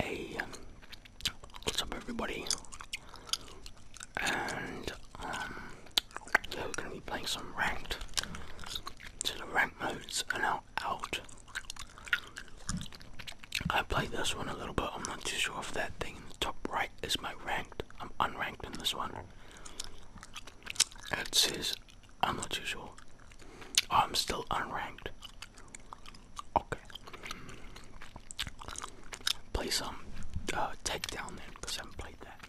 A um, What's up, everybody? And um, yeah, we're gonna be playing some ranked. So the ranked modes are now out. I played this one a little bit. I'm not too sure if that thing in the top right is my ranked. I'm unranked in this one. It says I'm not too sure. I'm still unranked. Okay. Play some uh, takedown then, because I haven't played that.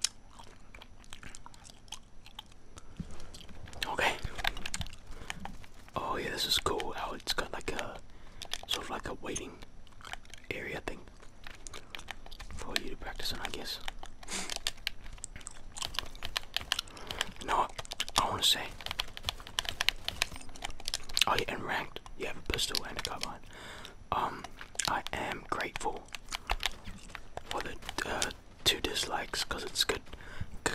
Okay. Oh yeah, this is cool. How oh, it's got like a sort of like a waiting area thing for you to practice on, I guess. You I want to say? Oh yeah, and ranked. You have a pistol and a carbine. Um, I am grateful for the uh, two dislikes because it's good,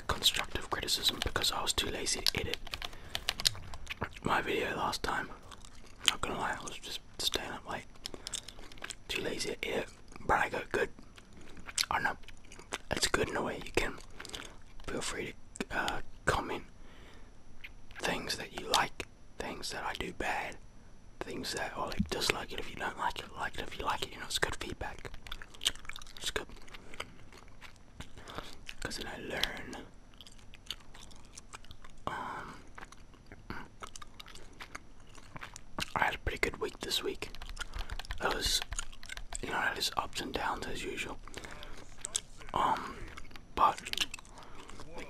constructive criticism because I was too lazy to edit my video last time. Not gonna lie, I was just staying up late. Too lazy to edit, but I got good. I know it's good in a way you can feel free to uh, comment things that you like, things that I do bad, things that or like dislike it if you don't like it, like it if you like it, you know, it's good feedback. It's good. Cause then I learn um I had a pretty good week this week. It was you know, it was ups and downs as usual. Um but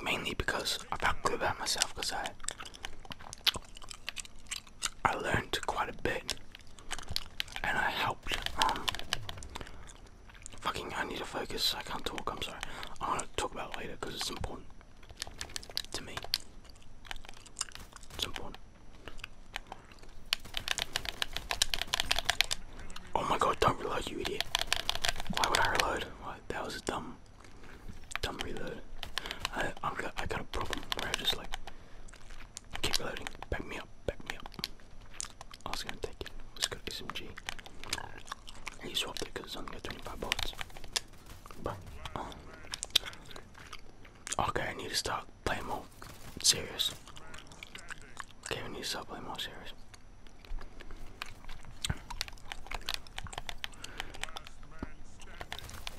mainly because I felt good about myself because I I learned quite a bit and I helped um, fucking I need to focus I can't talk I'm sorry I want to talk about later because it's important to me it's important Oh my god, don't reload, you idiot. Why would I reload? that was a dumb, dumb reload. I, got a problem where just like keep reloading. Back me up, back me up. I was gonna take it. gonna us some G. He swapped it because it's only got 25 bullets. But, um, okay, I need to start playing more serious. Okay, we need to start playing more serious.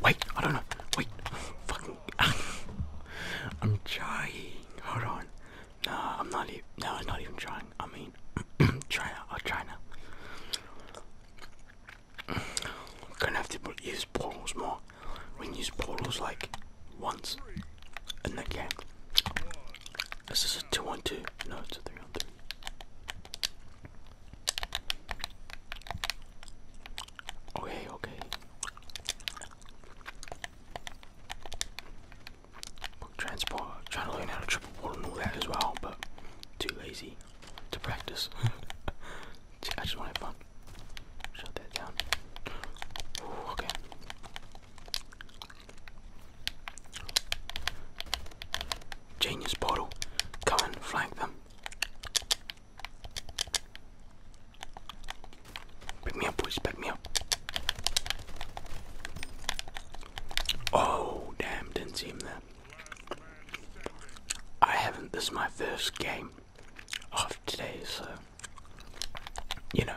Wait, I don't know. Wait, fucking. I'm trying. Hold on. No, I'm not even. No, I'm not even trying. I mean, try now. I'll try I'm gonna have to use portals more. We can use portals like once and the game. This Is a two one two. No, it's a 3 on 3. Okay, okay. Transport. Trying to learn how to triple board and all that as well, but too lazy to practice. I just want to have fun. Shut that down. okay. Genius bottle. Come and flank them. Pick me up, boys. Pick me up. Oh, damn. Didn't see him there. I haven't. This is my first game of today, so you know,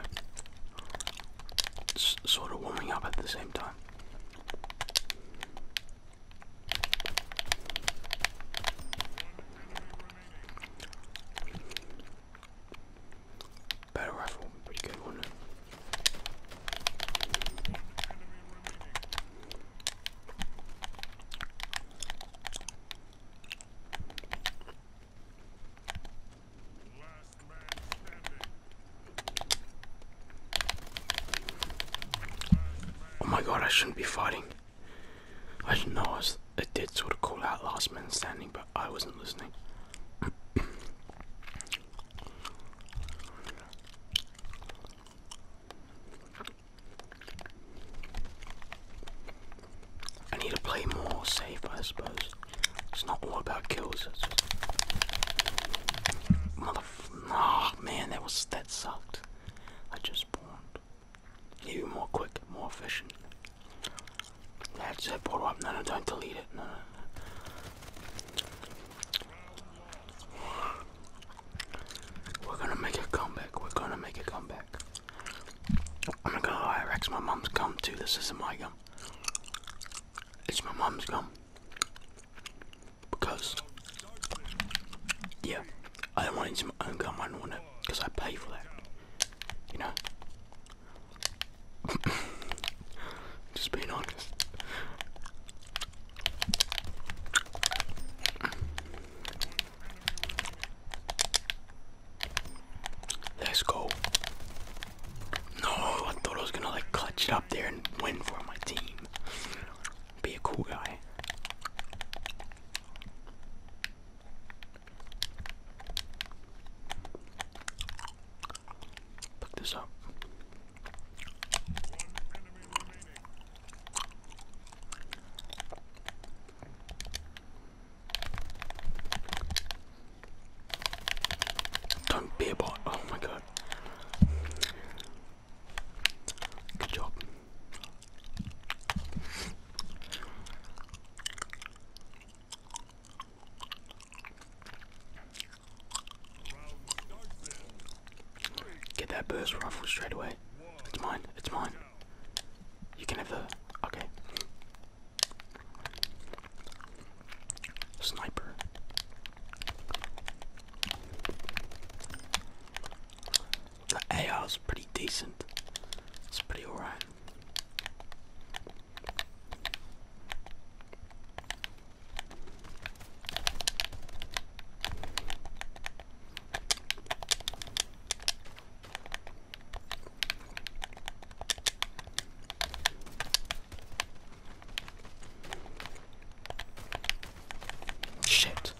s sort of warming up at the same time. Better rifle, pretty good one. Oh my god, I shouldn't be fighting. I know I, was, I did sort of call out last man standing, but I wasn't listening. I need to play more safe, I suppose. It's not all about kills. It's just... Motherf... Oh, ah, man, that was... That sucked. I just spawned. Even more quick, more efficient. That's it, portal up. No, no, don't delete it. No, no. We're gonna make a comeback. We're gonna make a comeback. I'm not gonna lie, Rex. My mum's gum too. This isn't my gum. It's my mom's gum. Because, yeah, I don't want to to my own gum, I don't want it, because I pay for that. You know? Just being honest. Let's go. No, I thought I was gonna like clutch it up there and win for my team. Be a cool guy. Look this up. Don't be a bot. Oh my god. Good job. Get that burst rifle straight away. It's mine. It's mine. You can have the. Okay. Sniper. The AR is pretty decent. It's pretty alright. Shit.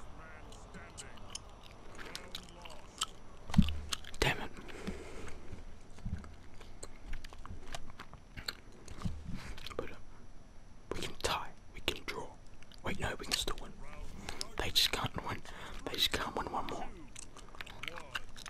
Damn it. But uh, we can tie, we can draw. Wait, no, we can still win. They just can't win. They just can't win one more.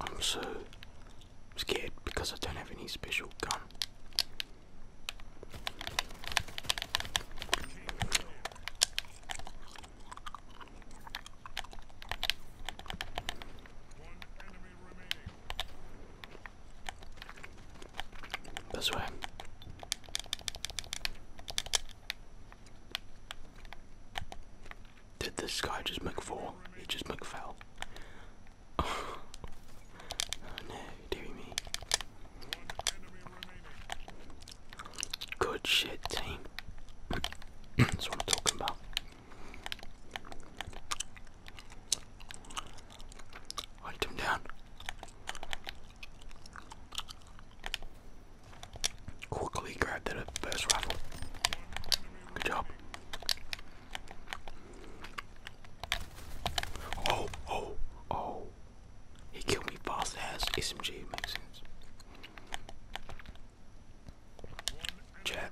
I'm so scared because I don't have any special gun. This way. Did this guy just McFall? He just McFell. oh no, dear me. Good shit, team. That's what I'm talking about. Hunt him down. Quickly grab that first rifle. Good job. Oh, oh, oh. He killed me fast as SMG, makes sense. Chat.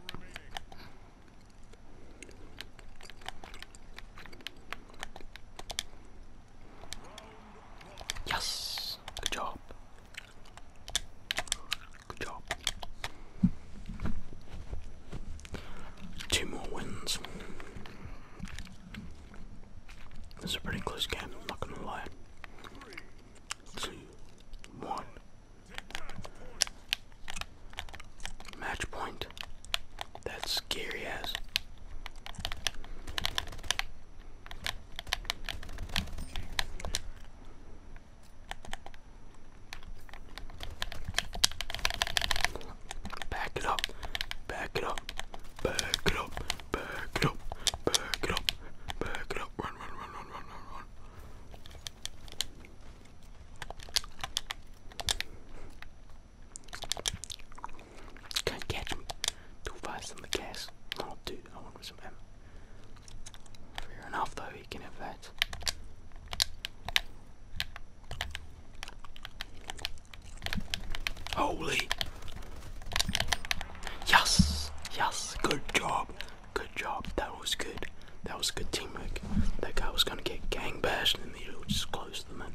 Yes. Good job. Good job. Two more wins. This is a pretty close game, I'm not gonna lie. Two, Match point. That's scary ass. Back it up, back it up, back it up, back it up, back it up, back it up, run, run, run, run, run, run, run. Can't catch him. Two fights on the gas. Oh, dude, I want some ammo. Fair enough, though, he can have Holy! Yes! Yes! Good job! Good job. That was good. That was good teamwork. That guy was gonna get gang bashed and then he just close the man.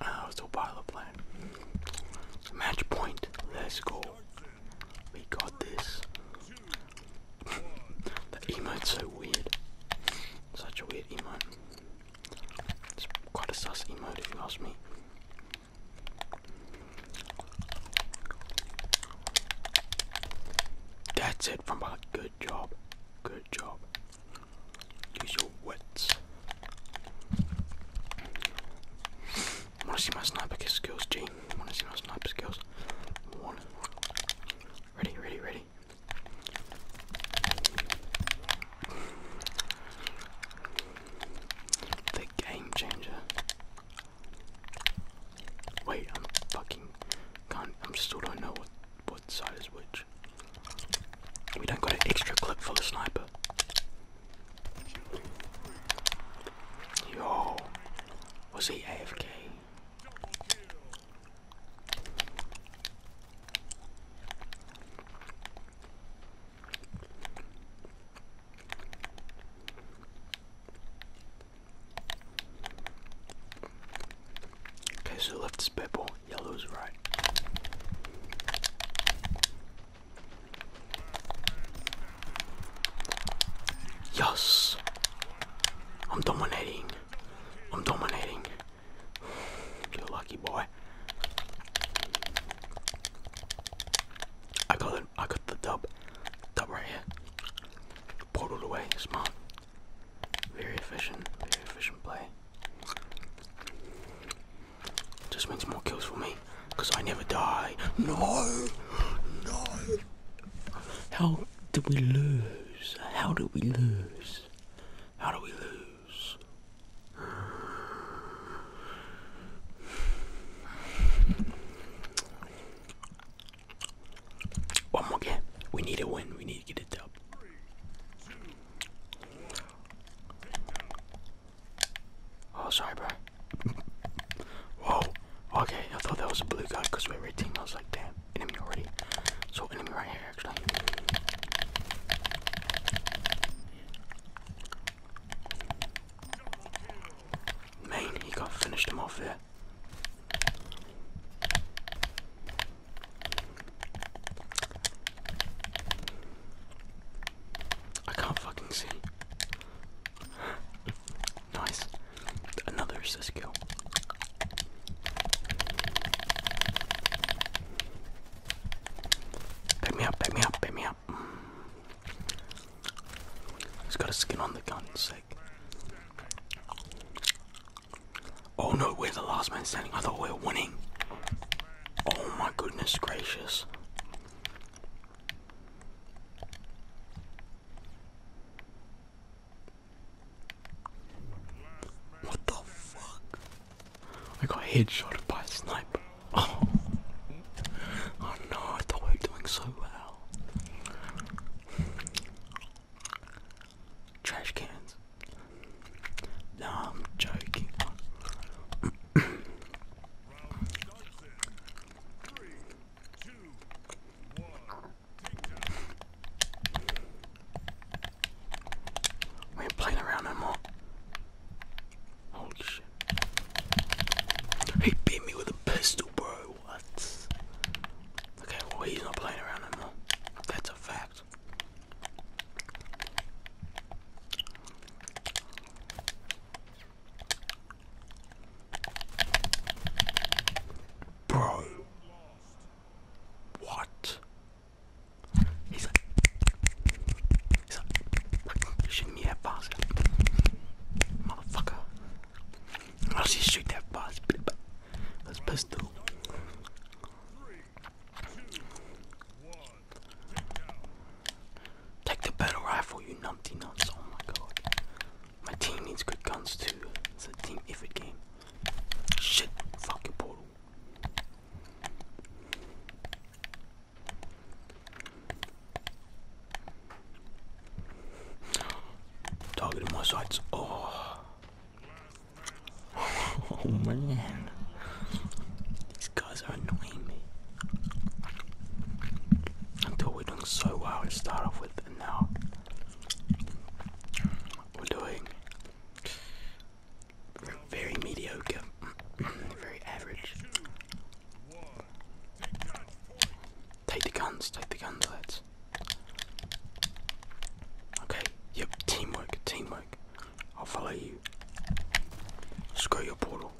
Uh, I was still pilot play. Match point. Let's go. We got this. the emote's so weird. Such a weird emote. It's quite a sus emote if you ask me. That's it from behind. Good job. Good job. Use your wits. I want to see my sniper skills, G. I want to see my sniper skills. Ready, ready, ready. The game changer. Wait, I'm fucking can't. I'm still don't know what what side is which. We don't got an extra clip for the sniper. Yo, was he AFK? Okay, so left is purple. Yellow's right. Yes! I'm dominating. I'm dominating. You're lucky boy. I got it. I got the dub. Dub right here. Portaled away. Smart. Very efficient. Very efficient play. Just means more kills for me. Because I never die. No! No! How do we lose? How do we lose? How do we lose? One more game. We need a win. We need to get it up. Oh, sorry, bro. Whoa. Okay, I thought that was a blue guy because we are a team. I was like, damn, enemy already. So, enemy right here, actually. Man, he got finished him off there. I can't fucking see. nice. Another assist Pick me up, pick me up, pick me up. He's got a skin on the gun, sick. Oh no, we're the last man standing. I thought we were winning. Oh my goodness gracious. What the fuck? I got headshot by a sniper. Oh. oh no, I thought we were doing so well. Trash cans. No, I'm joking. we ain't playing around no more. Holy shit. He beat me with a pistol, bro. What? Okay, well, he's not playing around no That's a fact. Bro, what? He's like, shoot me that bastard, motherfucker. I'll just shoot that bastard. That's pistol. Take the battle rifle, you numpty nuts. Oh my god. My team needs good guns too. It's a team effort game. Shit, fucking portal. Targeting my sights. Oh. Oh man, these guys are annoying me. I thought we're doing so well to start off with, and now we're doing very mediocre, very average. Take the guns, take the guns, lads. Okay, yep, teamwork, teamwork. I'll follow you. Screw your portal.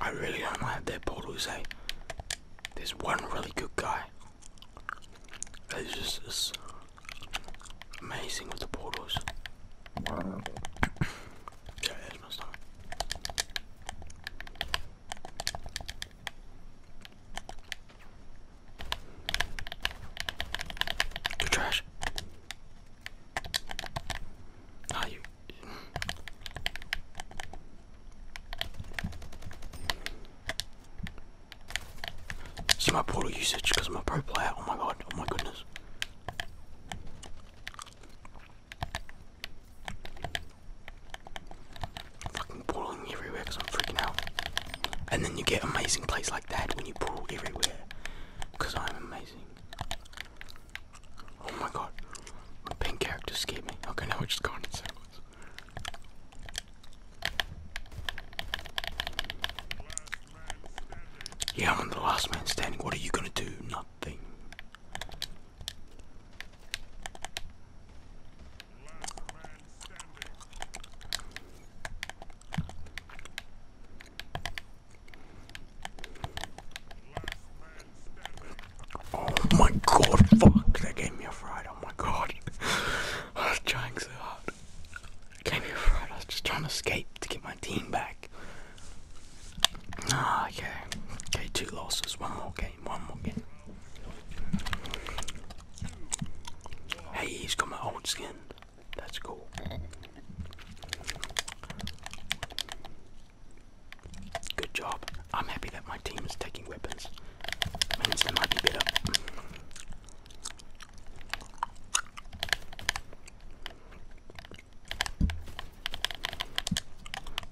I really don't like their portals, eh? There's one really good guy. It's just amazing with the portals. Wow. yeah, that's my stomach you trash. Ah, you. See my portal usage because I'm a pro player. Oh my god, oh my goodness. Fucking pulling everywhere because I'm freaking out. And then you get amazing plays like that when you pull everywhere because I'm amazing. Oh my god, my pink character scared me. Okay, now we're just going in circles. Yeah, I'm the last man standing. What are you gonna do? Oh my god, fuck, that gave me a fright, oh my god. I was trying so hard. It gave me a fright, I was just trying to escape to get my team back. Ah, okay. Okay, two losses, one more game. Hey, he's got my old skin. That's cool. Good job. I'm happy that my team is taking weapons. Means they might be better.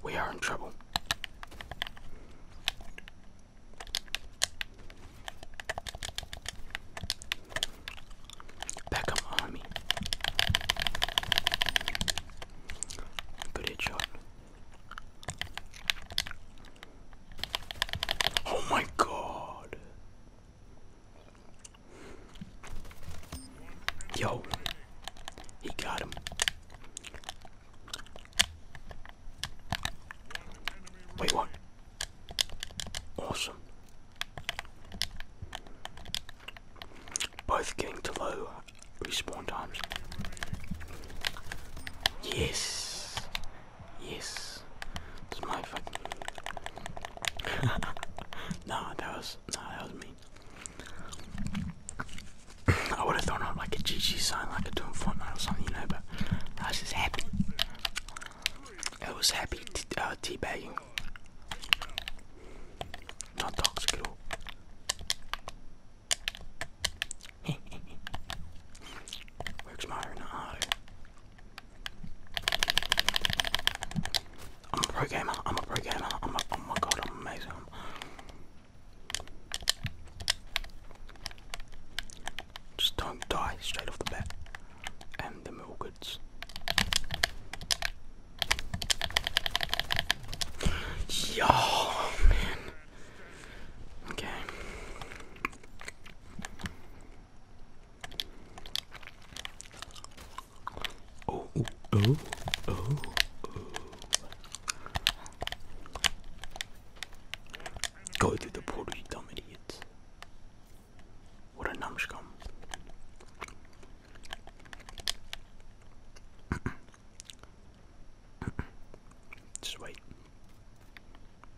We are in trouble. Beckham on Good shot. Oh my god. Yo, he got him. Wait, what? Awesome. Both getting to low respawn times. Yes. Yes. That's my fucking. nah, that was nah, that was me. I would have thrown up like a GG sign, like I do in Fortnite or something, you know, but I was just happy. It was happy t uh, teabagging. Not toxic at all. Works my own eye. I'm a pro gamer, I'm a pro gamer, I'm a, oh my god, I'm amazing. I'm, just don't die straight off the bat. And the mill goods. Yo, man. Okay. Oh, oh, oh, oh. oh. Go through the portal, you dumb idiots. What a numscum. Just wait.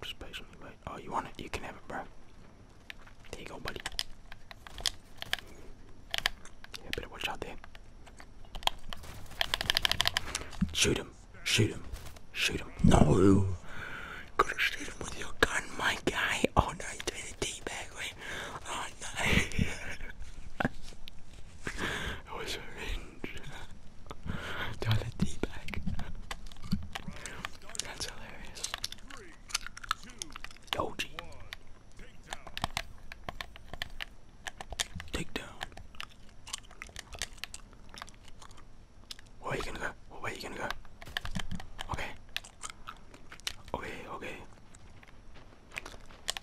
Just patiently wait. Oh, you want it? You can have it, bro. There you go, buddy. Yeah, better watch out there. Shoot him. Shoot him. Shoot him. No. Gotta shoot him with your gun, my guy. Oh no, he's doing the tea bag way. Oh no. it was revenge. doing the tea bag. That's hilarious. Yoji. Take down. Where are you gonna go? Where are you gonna go? Okay. Okay, okay.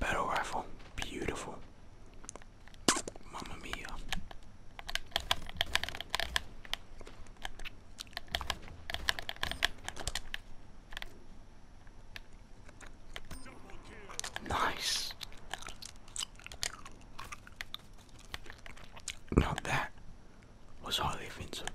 Battle rifle. Beautiful. Mamma mia. Nice. Not that was highly offensive.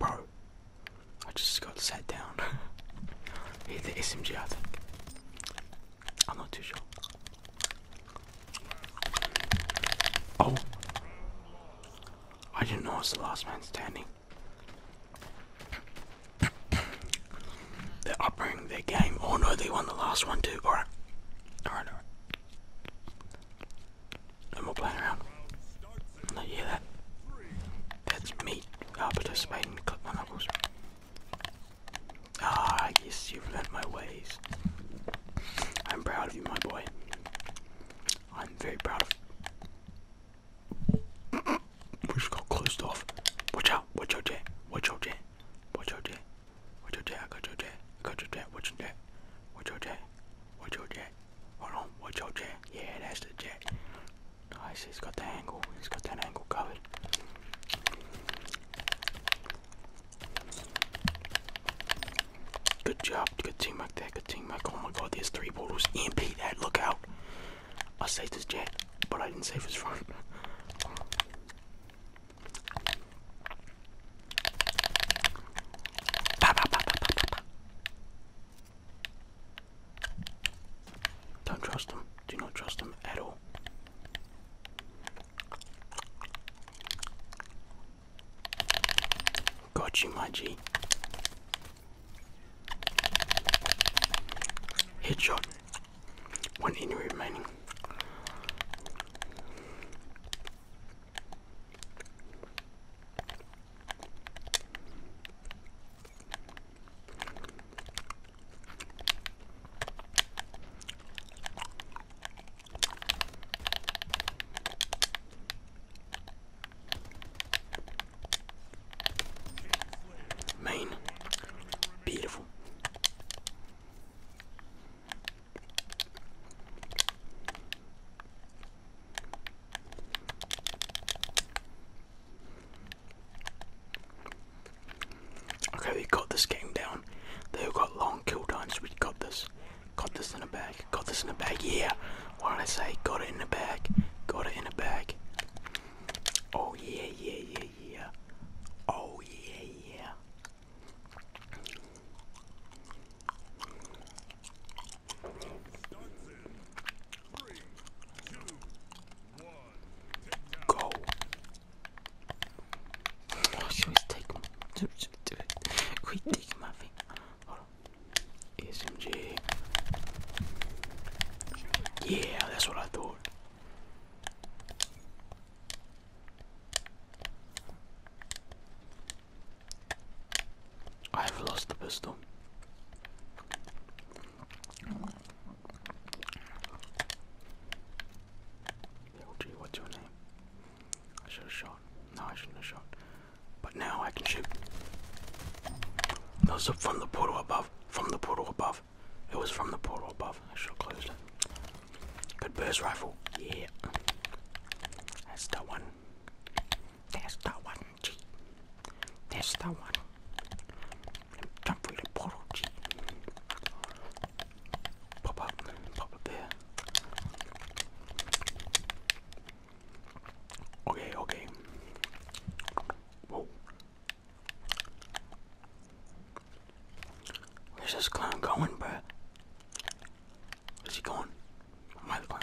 Bro, I just got sat down. Hit the SMG, I think. I'm not too sure. Oh, I didn't know it was the last man standing. They're upping their game. Oh no, they won the last one too. Alright. Alright, No more playing around. hear that? That's me uh, participating. Click my knuckles. Ah, yes, you've learnt my ways. I'm proud of you, my boy. I'm very proud of you. We just got closed off. Watch out, watch out, Jay. Watch out, Jay. Watch out, Jay. Watch out, Jay. I got your Jay. I got your Jay. Watch out, Jay. Watch out, Jay. Watch out, Jay. Hold on, watch out, Jay. Yeah, that's the Jay. Nice, he's got the angle. He's got that angle covered. Good job. Good teamwork there. Good teamwork. Oh my god, there's three portals. MP. that. Look out. I saved his jet, but I didn't save his front. Don't trust them. Do not trust them at all. Got you, my G. Headshot. One injury remaining. Main, beautiful. Okay, we got this game down. they all got long kill times. We got this. Got this in a bag. Got this in a bag. Yeah. Why don't I say? Got it in a bag. Got it in a bag. Oh yeah, yeah, yeah, yeah. Oh yeah, yeah. Go. Oh, she was taking. Quit take my thing. Hold on. SMG. Yeah, that's what I thought. I have lost the pistol. Yo, oh, what's your name? I should have shot. No, I shouldn't have shot. But now I can shoot. That was from the portal above. From the portal above. It was from the portal above. I should have closed it. Good burst rifle. Yeah. That's the one. That's the one, That's the one. Don't read a bottle, gee. Pop up, pop up there. Okay, okay. Whoa. Where's this clown going, bruh? Where's he going? Am I the clown?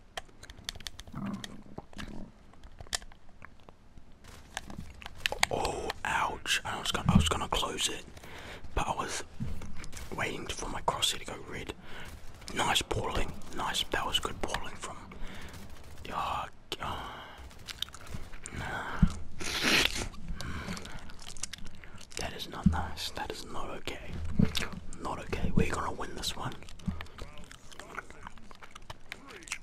Oh, ouch! I was gonna, I was gonna close it, but I was waiting for my crosshair to go red. Nice balling, nice. That was good balling from. Oh, oh. That is not nice. That is not okay. Not okay. We're gonna win this one.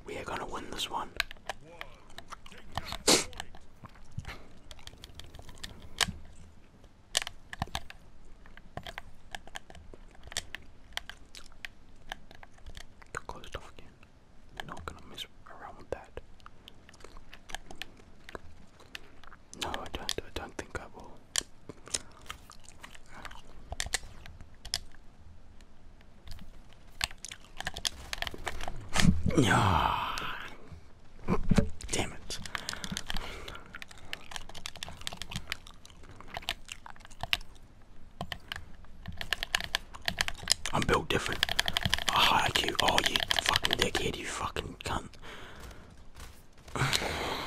We are gonna win this one. Got closed off again. not gonna mess around with that. No, I don't. I don't think I will. Yeah. Damn it. I'm built different. I high IQ. Oh, you fucking dickhead, you fucking cunt.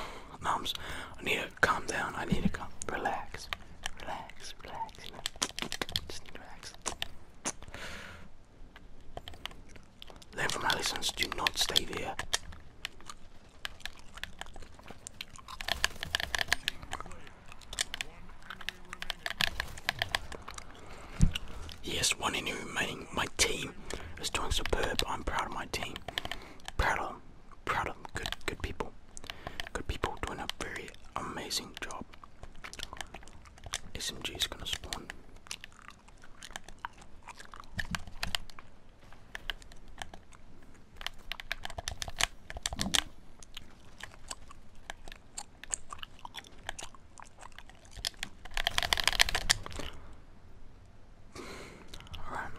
Nums. I need Calm down. I need to calm. Relax. Relax. Relax. Just need to relax. Learn my Do not stay there. Yes, one enemy remaining. My team is doing superb. I'm proud of my team. Proud proud of Good, good people. Good people doing a very amazing job. SMG is gonna spawn. Alright.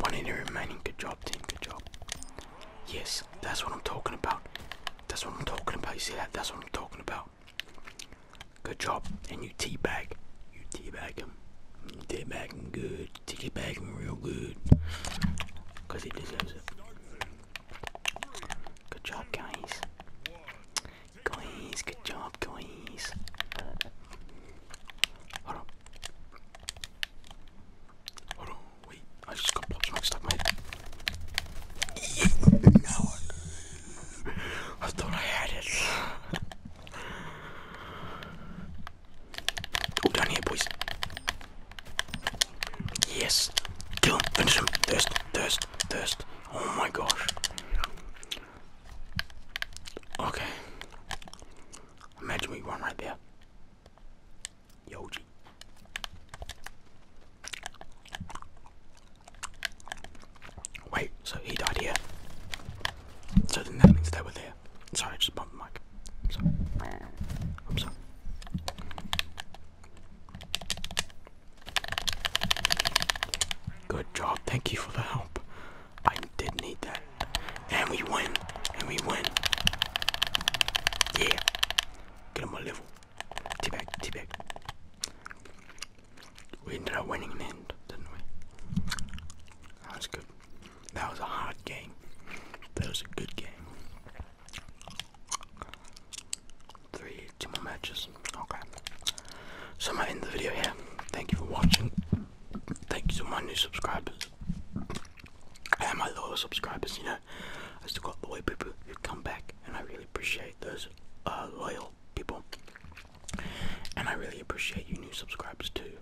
One in the remaining. Good job, team. Good job. Yes, that's what I'm talking about. That's what I'm talking about. You see that? That's what I'm talking about. Good job. And you teabag. You teabag him. You teabag him good. Teabag him real good. Because he deserves it. Good job, guys. Guys, good job, guys. Hold on. Hold on, wait, I just got blobs and up. my head. no, I thought I had it. oh, down here, boys. Yes, kill him, finish him. Thirst, thirst, thirst. Oh my gosh. Okay. Imagine we won right there. Yoji. Wait, so he died here. So then that means they were there. Sorry, I just bumped the mic. I'm sorry. I'm sorry. Good job, thank you for the help. I did need that. And we win. And we win. Yeah. Get him a level. T-back, We ended up winning in the end, didn't we? That was good. That was a hard game. That was a good game. Three, two more matches. Okay. So I'm gonna end the video here. Thank you for watching thank you to my new subscribers and my loyal subscribers. You know, I still got loyal people who come back, and I really appreciate those uh, loyal people. And I really appreciate you new subscribers too.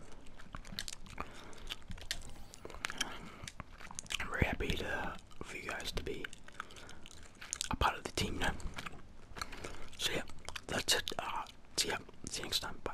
I'm very happy to, for you guys to be a part of the team now. So yeah, that's it. Uh, see ya. See you next time. Bye.